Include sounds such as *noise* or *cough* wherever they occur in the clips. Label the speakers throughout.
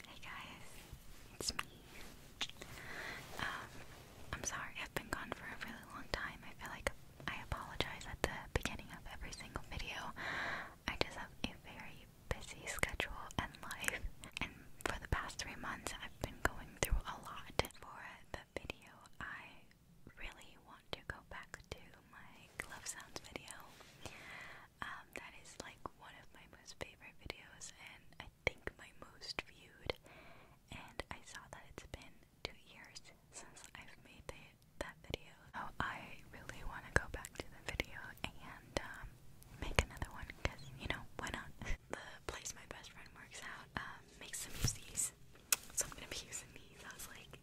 Speaker 1: Hey guys, it's me. Um, I'm sorry I've been gone for a really long time. I feel like I apologize at the beginning of every single video. I just have a very busy schedule and life, and for the past three months, I've been going through a lot. For the video, I really want to go back to my glove sounds video. Um, that is like one of my most favorite videos, and I think my most viewed. And I saw that it's been two years since I've made the, that video. So I really want to go back to the video and um, make another one because you know why not? *laughs* the place my best friend works out um, makes some of these, so I'm gonna be using these. I was like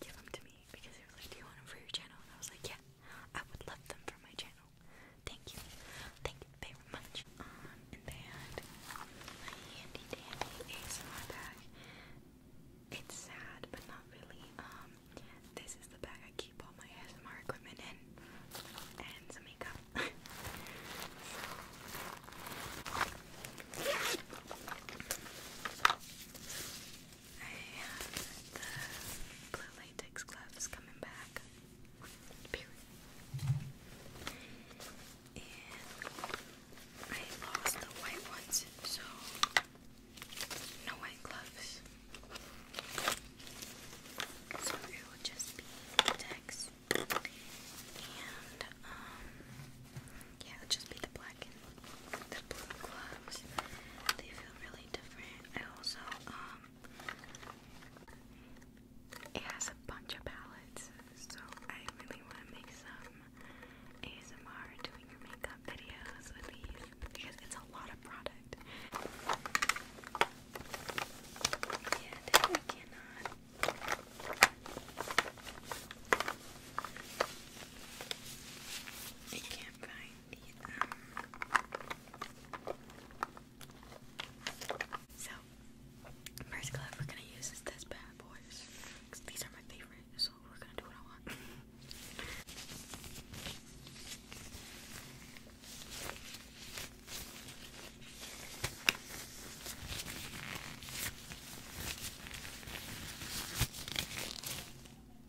Speaker 1: give them to me because they were like, Do you want them for your channel? And I was like, Yeah, I would love them for my channel. Thank you. Thank you very much. Um, and they had my handy dandy ASMR bag. It's sad, but not really. Um, this is the bag I keep all my ASMR equipment in and some makeup. *laughs* I the blue latex gloves coming back. And I lost the white ones, so no white gloves. So it will just be latex. And, um, yeah, just be the black the blue gloves. They feel really different. I also um it has a bunch of palettes, so I really want to make some ASMR doing makeup videos with these because it's a lot of product. Yeah, I cannot. I can can't So, first glove we're gonna use is this bad boy. These are my favorite, so we're gonna do what I want.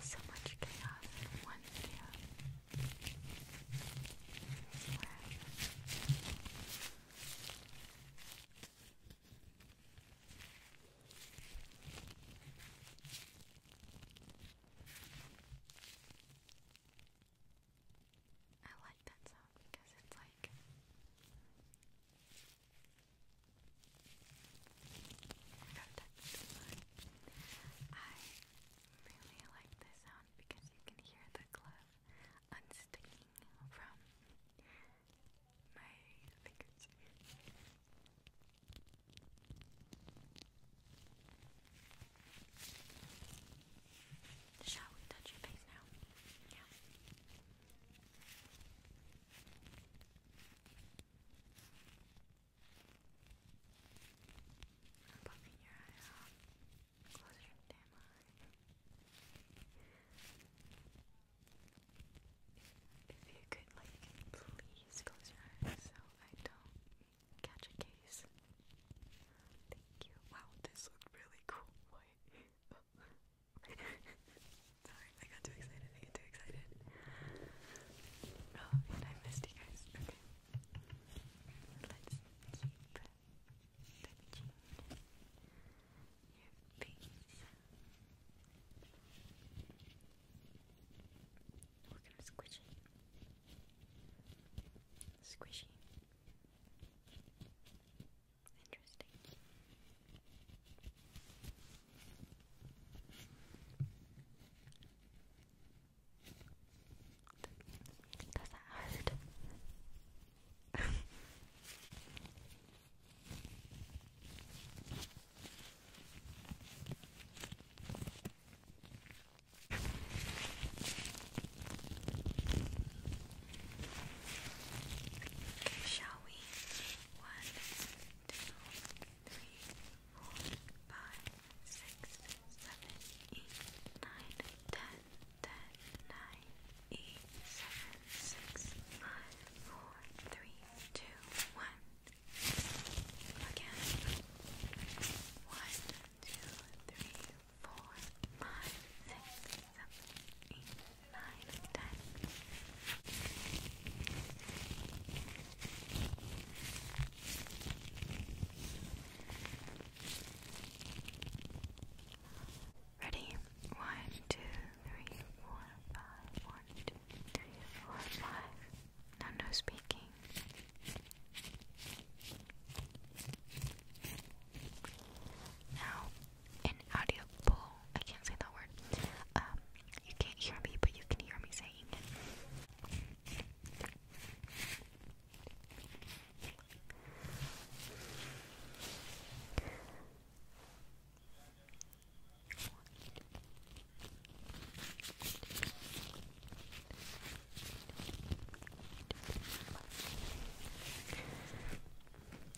Speaker 1: So much chaos one video. I like that sound because it's like do I really like this sound because you can hear the glove unsticking from my fingers. Shall we touch your face now? Yeah. I'm popping your eye out. Close your damn eye. If, you could, like, please close your eyes so I don't catch a case. Thank you. Wow, this looked really cool. Wait. *laughs* Sorry, I got too excited. I get too excited. Oh, and I missed you guys. Okay. Let's keep touching your face. We're gonna Squishy. Squishy. Interesting. Does that hurt? Shall we? One, two, three, four, five, six, seven, eight, nine, ten, ten, nine, eight, seven, six, five, four, three, two, one. Again. One, two, three, four, five, six, Ready? One, two, three, four, five. One, two, three, four, five. Now no speaking. Now an audible, I can't say that word, um, you can't hear me, but you can hear me saying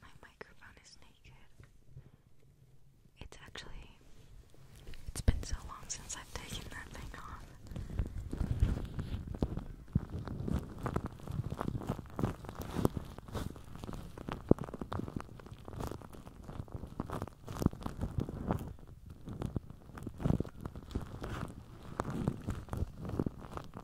Speaker 1: My microphone is naked. It's actually it's been so long since I've taken that thing off.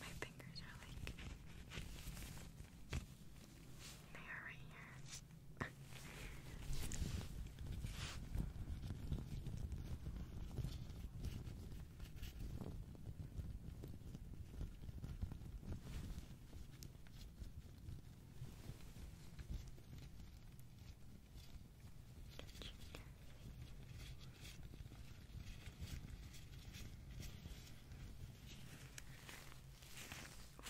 Speaker 1: My fingers are like they are right here. Good. Alright.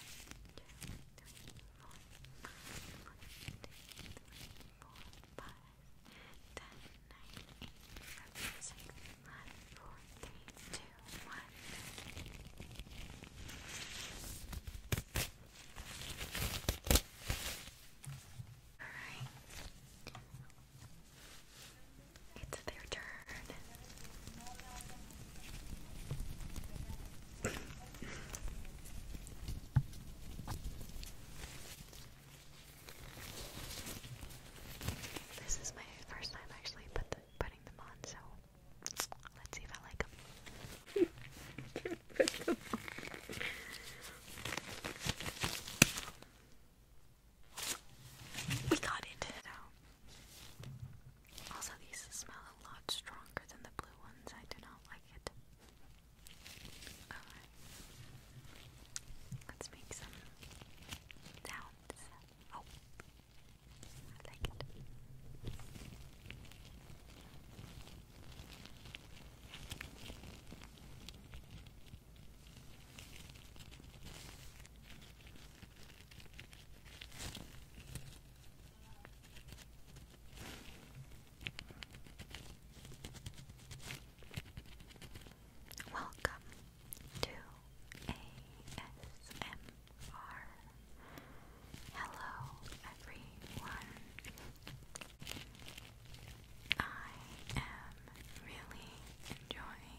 Speaker 1: It's their turn. This is my first time actually putting them on, so let's see if I like them. *laughs* We got it. Also, these smell a lot stronger than the blue ones. I do not like it. Alright. Let's make some sounds. Oh. I like it. Welcome to ASMR. Hello, everyone. I am really enjoying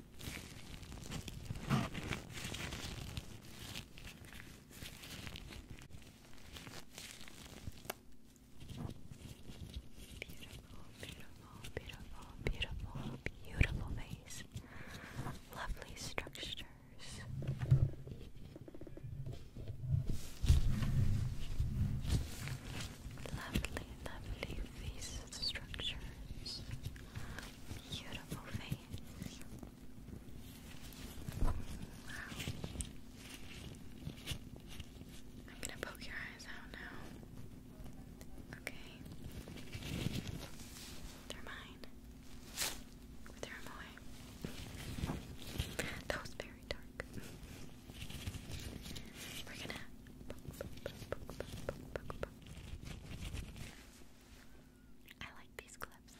Speaker 1: Beautiful, beautiful, beautiful, beautiful face. Lovely structures. Lovely, lovely face structures. Beautiful face. Wow. I'm gonna poke your eyes out now. Okay. They're mine. Throw them away. That was very dark. We're gonna I like these clips.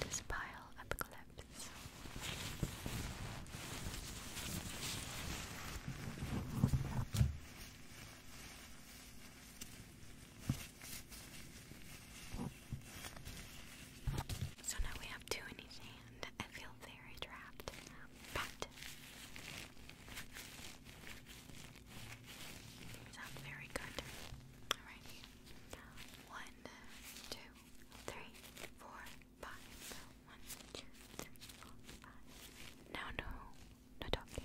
Speaker 1: This pile of clips. So now we have two in each hand. I feel very trapped. But sounds very good. Alrighty. One, two, three, four, five. One, two, three, four, five. Now no, no talking.